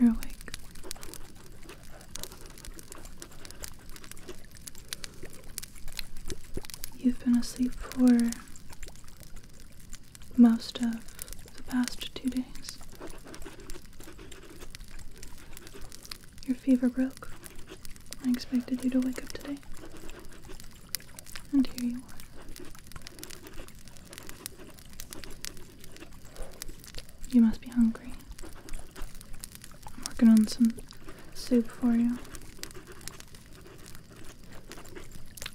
You're awake. You've been asleep for most of the past two days. Your fever broke. I expected you to wake up today. And here you are. You must be hungry. I'm working on some soup for you.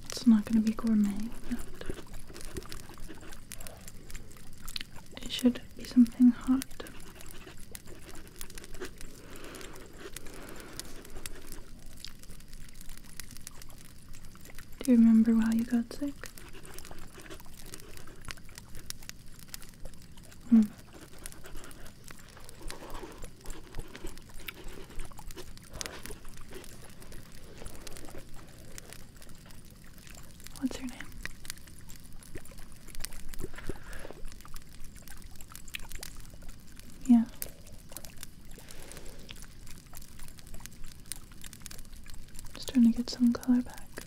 It's not going to be gourmet. It should be something hot. Do you remember why you got sick? Mm. What's her name? Yeah. Just trying to get some color back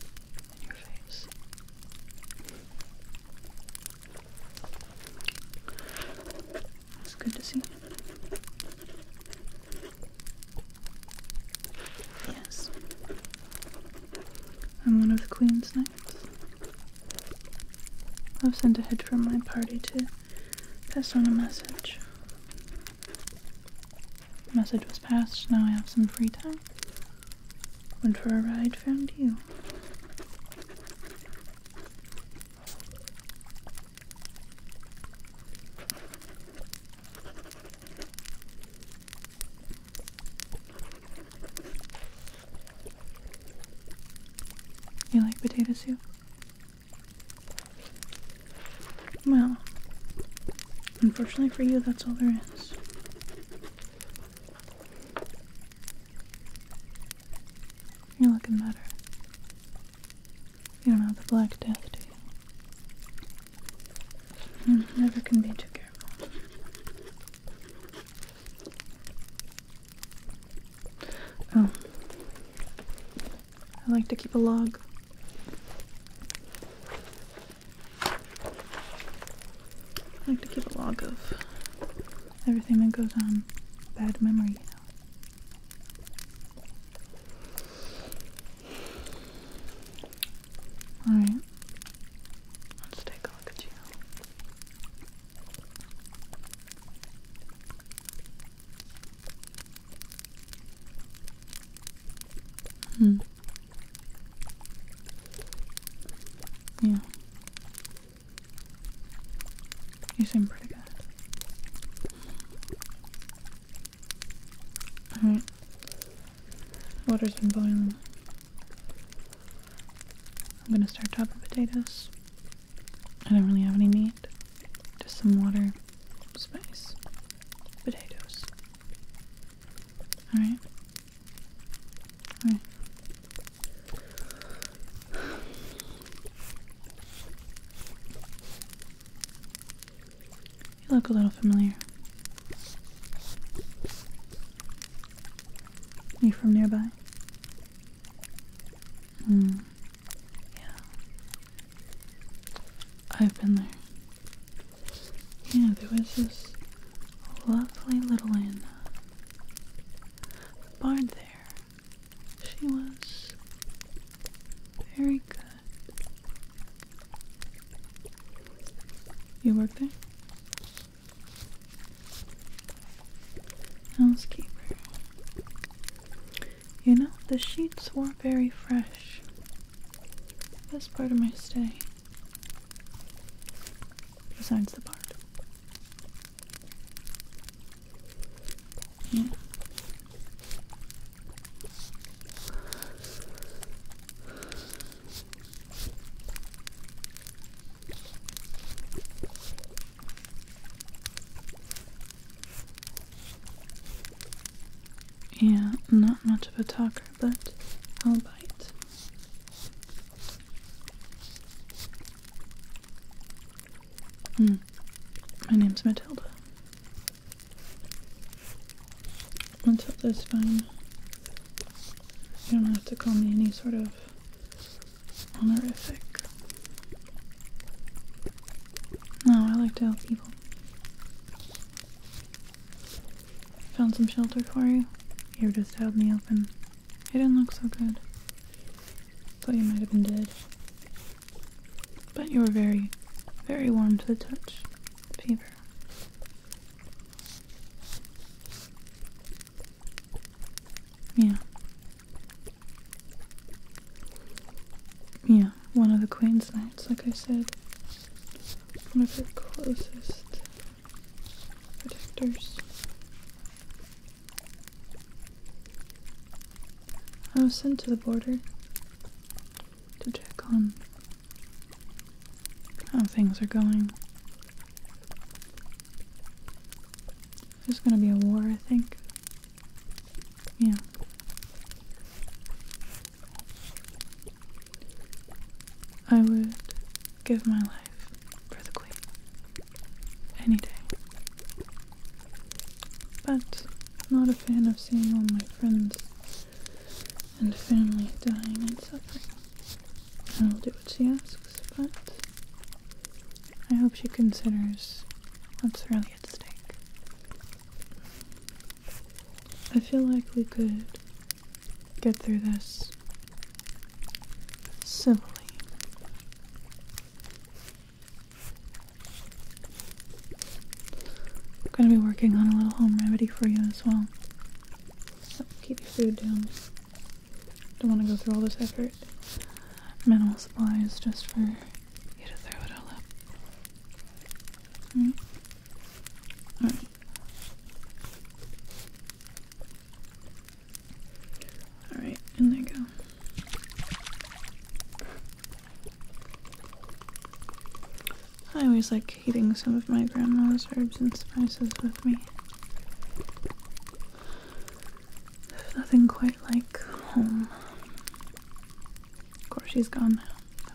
in your face. It's good to see. Yes. I'm one of the Queen's Knights. I've sent a head from my party to pass on a message. message was passed, now I have some free time. Went for a ride, found you. You like potato soup? Well, unfortunately for you, that's all there is. You're looking better. You don't have the Black Death, do you? Hmm, never can be too careful. Oh. I like to keep a log. I like to keep a log of everything that goes on. Bad memory, you know. Alright, let's take a look at you. Hmm. Yeah. You seem pretty good. Alright. Water's been boiling. I'm gonna start chopping potatoes. I don't really have any meat. Just some water, spice, potatoes. Alright. Alright. You look a little familiar. You from nearby? Hmm. Yeah. I've been there. Yeah, there was this lovely little inn. The bard there. She was very good. You work there? Housekeeper. You know, the sheets were very fresh. Best part of my stay. Besides the part. Yeah. Yeah, not much of a talker, but I'll bite. Hmm. My name's Matilda. Until this fine. You don't have to call me any sort of honorific. No, I like to help people. Found some shelter for you. You just held me open. You didn't look so good. Thought you might have been dead. But you were very, very warm to the touch, Fever. Yeah. Yeah, one of the Queen's Knights, like I said. One of her closest protectors. I was sent to the border to check on how things are going. There's gonna be a war, I think. Yeah. I would give my life for the Queen. Any day. But I'm not a fan of seeing all my friends and family dying and suffering. I will do what she asks, but I hope she considers what's really at stake. I feel like we could get through this civilly. I'm going to be working on a little home remedy for you as well. keep your food down. Don't want to go through all this effort. Minimal supplies just for you to throw it all up. All right. Alright, and there you go. I always like heating some of my grandma's herbs and spices with me. There's nothing quite like home. Of course, she's gone now.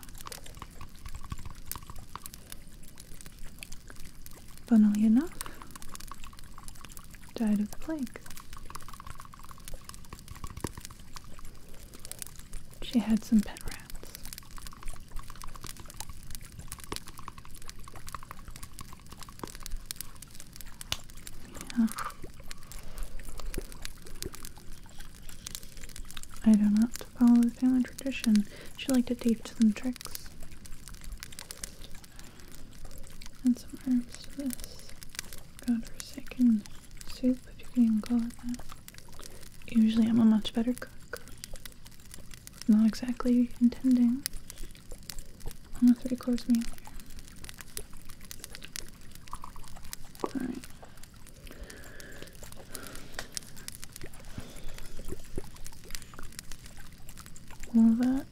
Funnily enough, died of the plague. She had some pet rats. Yeah. I do not follow the family tradition. She liked to teach them tricks. And some herbs to this godforsaken soup, if you can even call it that. Usually, I'm a much better cook. Not exactly intending on a three course meal Alright. All that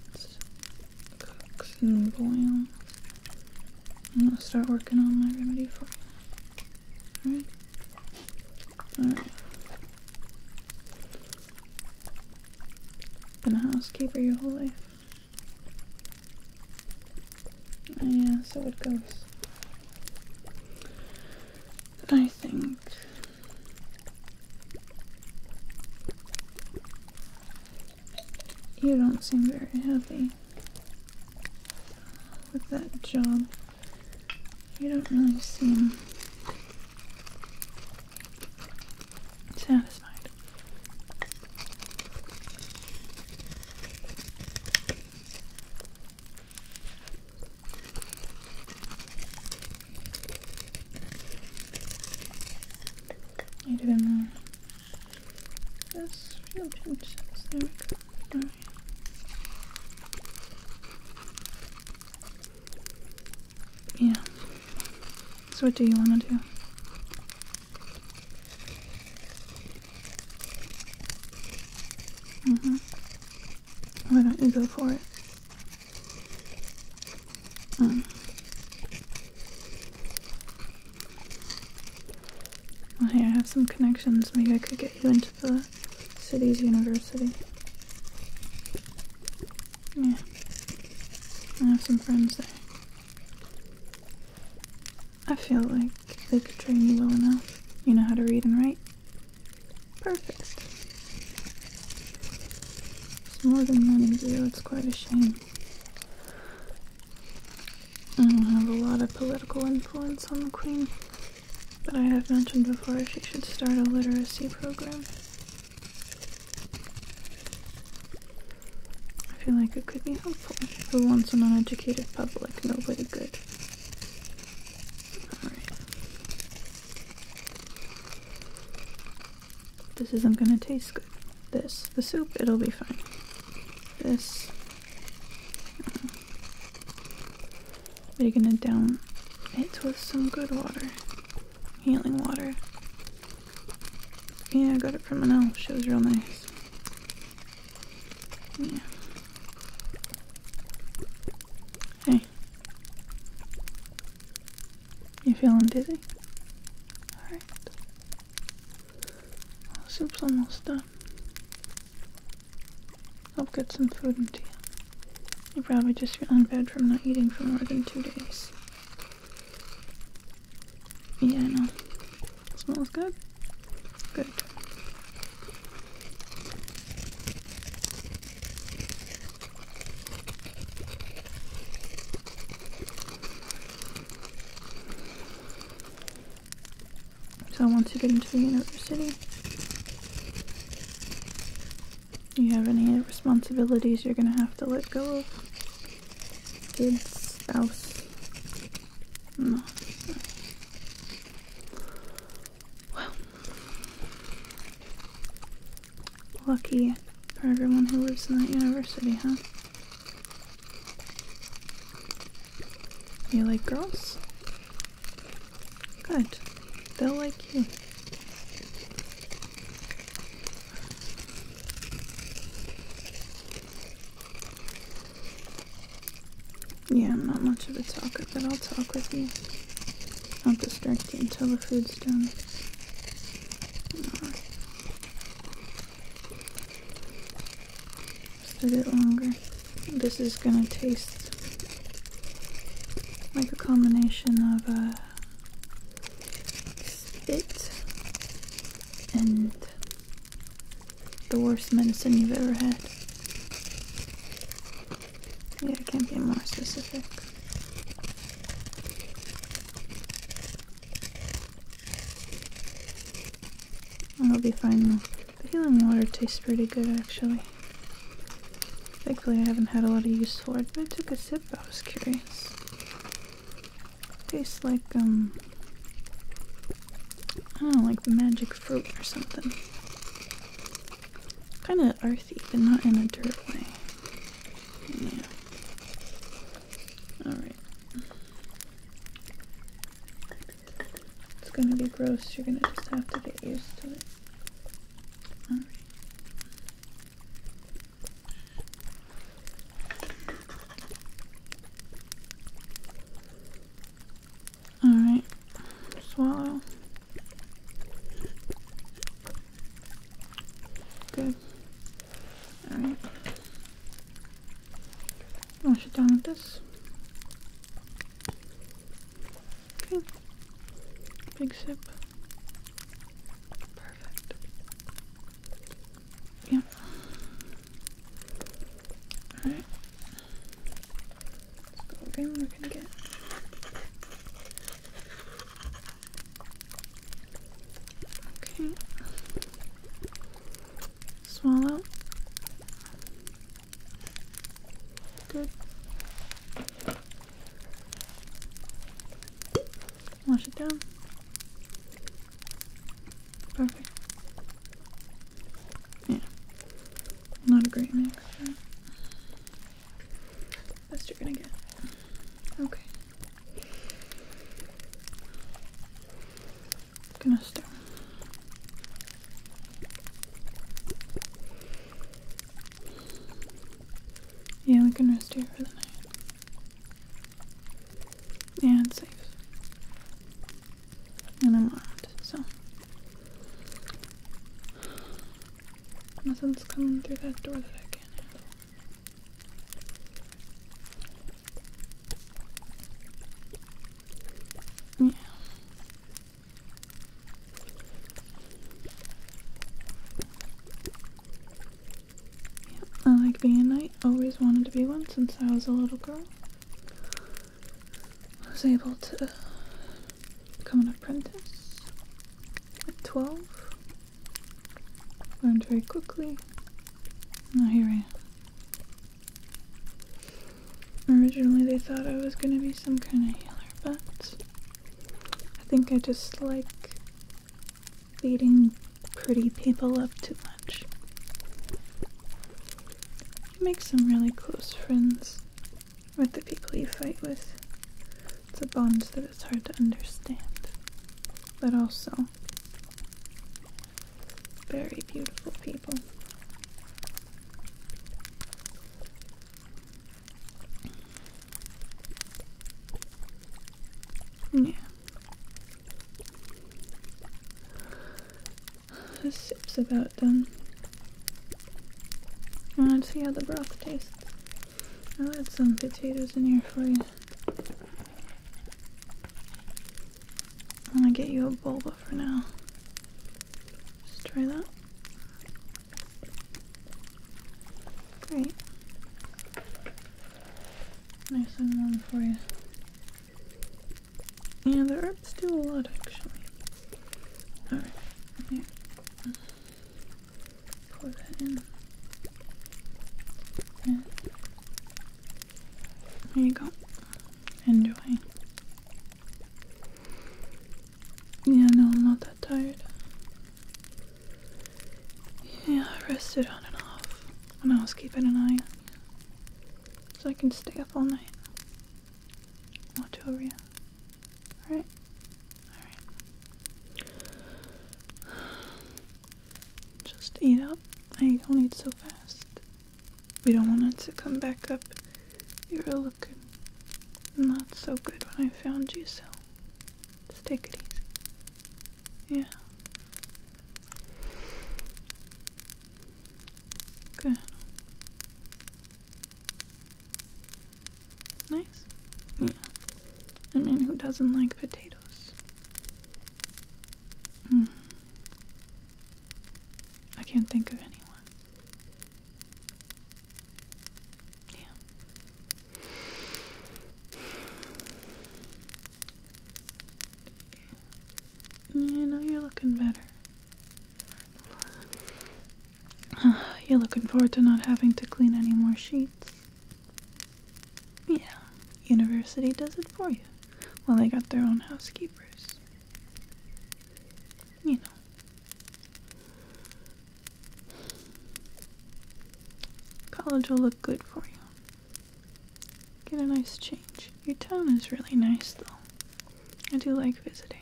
cooks and boils. I'm gonna start working on my remedy for Alright. Alright. Been a housekeeper your whole life. Oh, yeah, so it goes. I think. You don't seem very happy with that job. You don't really seem satisfied. I didn't know. That's real pinches. There yeah. So what do you want to do? Mm hmm Why don't you go for it? Mm. Well, oh, here, I have some connections. Maybe I could get you into the city's university. Yeah. I have some friends there. I feel like they could train you well enough. You know how to read and write. Perfect. It's more than one money, deal. It's quite a shame. I don't have a lot of political influence on the Queen, but I have mentioned before she should start a literacy program. I feel like it could be helpful Who wants an uneducated public, nobody good. Alright. This isn't gonna taste good. This. The soup, it'll be fine. This. They're gonna down it with some good water. Healing water. Yeah, I got it from an elf. She was real nice. Yeah. Hey. You feeling dizzy? Alright. soup's almost done. I'll get some food into you. You probably just feel in bed from not eating for more than two days. Yeah, I know. It smells good? Good. So once you get into the university, you have any responsibilities you're gonna have to let go of. Kids, spouse. No. Well. Lucky for everyone who lives in that university, huh? You like girls? Good. They'll like you. Yeah, I'm not much of a talker, but I'll talk with you. I'll distract you until the food's done a bit longer. This is gonna taste like a combination of a uh, spit and the worst medicine you've ever had. Yeah, it can't be more specific. I'll be fine though. The Healing water tastes pretty good, actually. Thankfully, I haven't had a lot of use for it, but I took a sip, I was curious. Tastes like, um... I don't know, like the magic fruit or something. Kinda earthy, but not in a dirt way. Yeah. Alright. It's gonna be gross. You're gonna just have to get used to it. All right. All right, swallow. Good. All right. Wash it down with this. Okay. Big sip. Perfect. Yeah. Alright. let we're gonna get. Okay. Swallow. Wash it down. Perfect. Yeah. Not a great mix, right? Best you're gonna get. Okay. Gnastar. Yeah, we can rest here for the night. Yeah, it's safe. And I'm armed, so. Nothing's coming through that door that I can't handle. Yeah. I like being a knight. Always wanted to be one since I was a little girl. I was able to become an apprentice at 12. Learned very quickly. Now here I am. Originally they thought I was gonna be some kind of healer, but I think I just like beating pretty people up too much. You make some really close friends with the people you fight with. It's a bond that is hard to understand, but also very beautiful people. Yeah. The sip's about done. I want to see how the broth tastes. I'll add some potatoes in here for you. I'm gonna get you a bowl, boba for now. Just try that. Great. Nice and warm for you. Yeah, the herbs do a lot actually. Alright, yeah. Pour that in. Yeah. There you go. Enjoy. Yeah, no, I'm not that tired. Yeah, I rested on and off when I was keeping an eye on you. So I can stay up all night. Watch over you. Alright? Alright. Just eat up. I don't eat so fast. We don't want it to come back up. You are looking not so good when I found you, so just take it easy. Yeah. Good. Nice. Mm. Yeah. I mean, who doesn't like potatoes? Mm. I can't think of anyone. Yeah. Yeah, no, you're looking better. you're looking forward to not having to clean any more sheets. Yeah, university does it for you. Well, they got their own housekeepers you know. College will look good for you. Get a nice change. Your town is really nice, though. I do like visiting.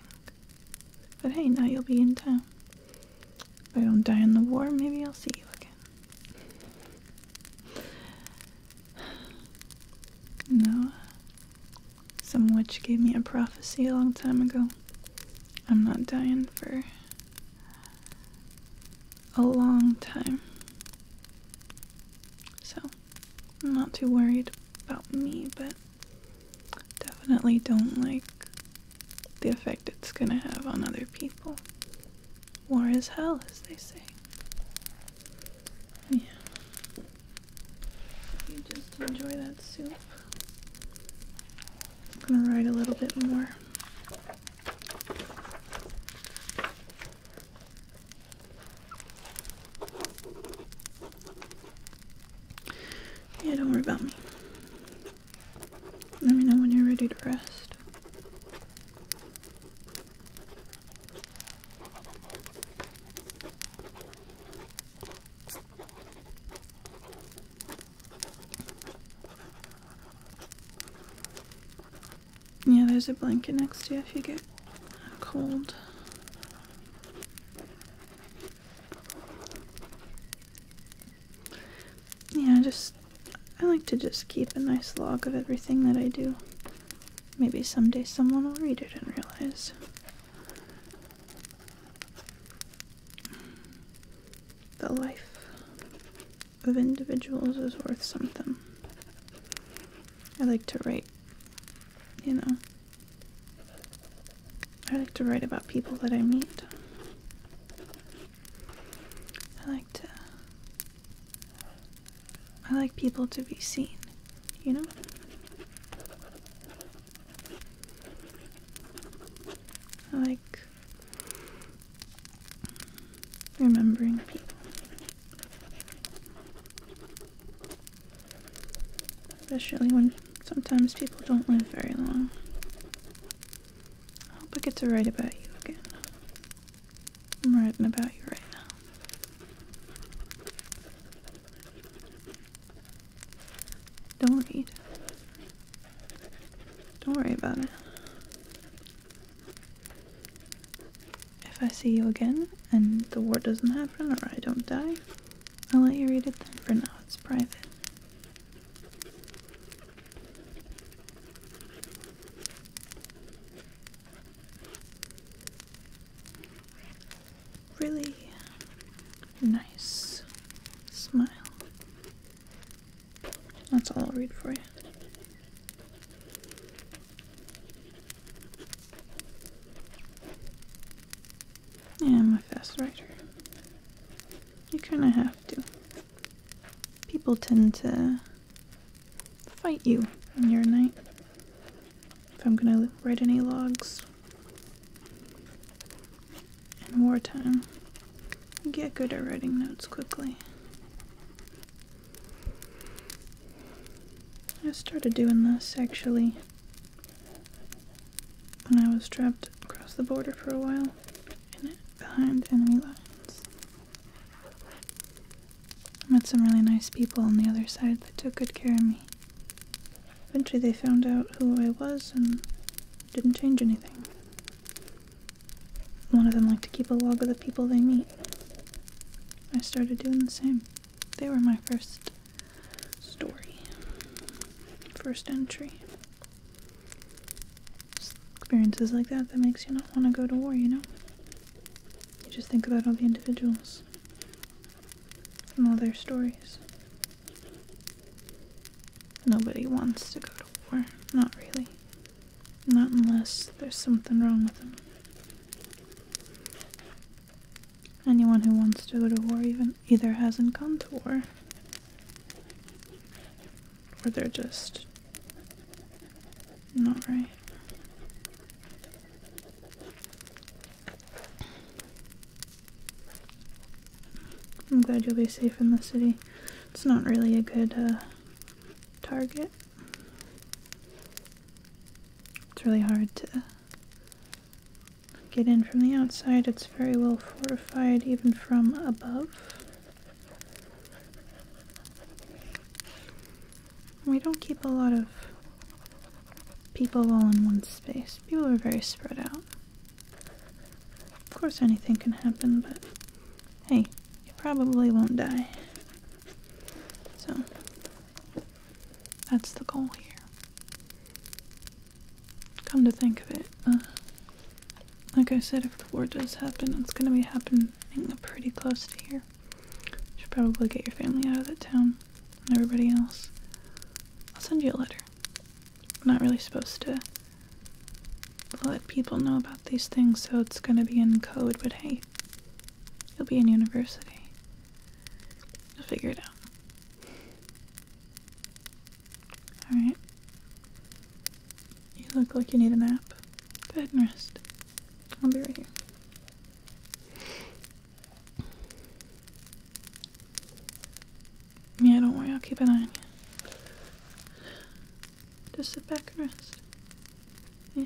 But hey, now you'll be in town. If I don't die in the war, maybe I'll see you again. Noah, some witch gave me a prophecy a long time ago. I'm not dying for a long time. So, I'm not too worried about me, but definitely don't like the effect it's gonna have on other people. War is hell, as they say. Yeah. You just enjoy that soup. I'm gonna write a little bit more. Yeah, don't worry about me. Let me know when you're ready to rest. Yeah, there's a blanket next to you if you get cold. Yeah, just I like to just keep a nice log of everything that I do. Maybe someday someone will read it and realize the life of individuals is worth something. I like to write, you know. I like to write about people that I meet. I like to. I like people to be seen, you know? I like remembering people. Especially when sometimes people don't live very long. I hope I get to write about you again. I'm writing about you right now. Don't read. Don't worry about it. If I see you again and the war doesn't happen or I don't die, I'll let you read it then. For now, it's private really nice smile. That's all I'll read for you. I'm a fast writer. You kinda have to. People tend to fight you when you're a knight if I'm gonna write any logs in wartime. Get good at writing notes quickly. I started doing this actually when I was trapped across the border for a while and behind enemy lines. I met some really nice people on the other side that took good care of me. Eventually they found out who I was and didn't change anything. One of them liked to keep a log of the people they meet. I started doing the same. They were my first story, first entry. experiences like that that makes you not want to go to war, you know? You just think about all the individuals and all their stories. Nobody wants to go to war. Not really. Not unless there's something wrong with them. Anyone who wants to go to war even either hasn't gone to war. Or they're just not right. I'm glad you'll be safe in the city. It's not really a good uh, target. It's really hard to get in from the outside. It's very well fortified even from above. We don't keep a lot of people all in one space. People are very spread out. Of course, anything can happen, but hey, you probably won't die. So, that's the goal here. Come to think of it, uh, like I said, if the war does happen, it's gonna be happening pretty close to here. You should probably get your family out of that town and everybody else. I'll send you a letter. I'm not really supposed to let people know about these things, so it's gonna be in code, but hey, you'll be in university. You'll figure it out. Alright. You look like you need a nap. Bed and rest. I'll be right here. Yeah, don't worry, I'll keep an eye on you. Just sit back and rest. Yeah.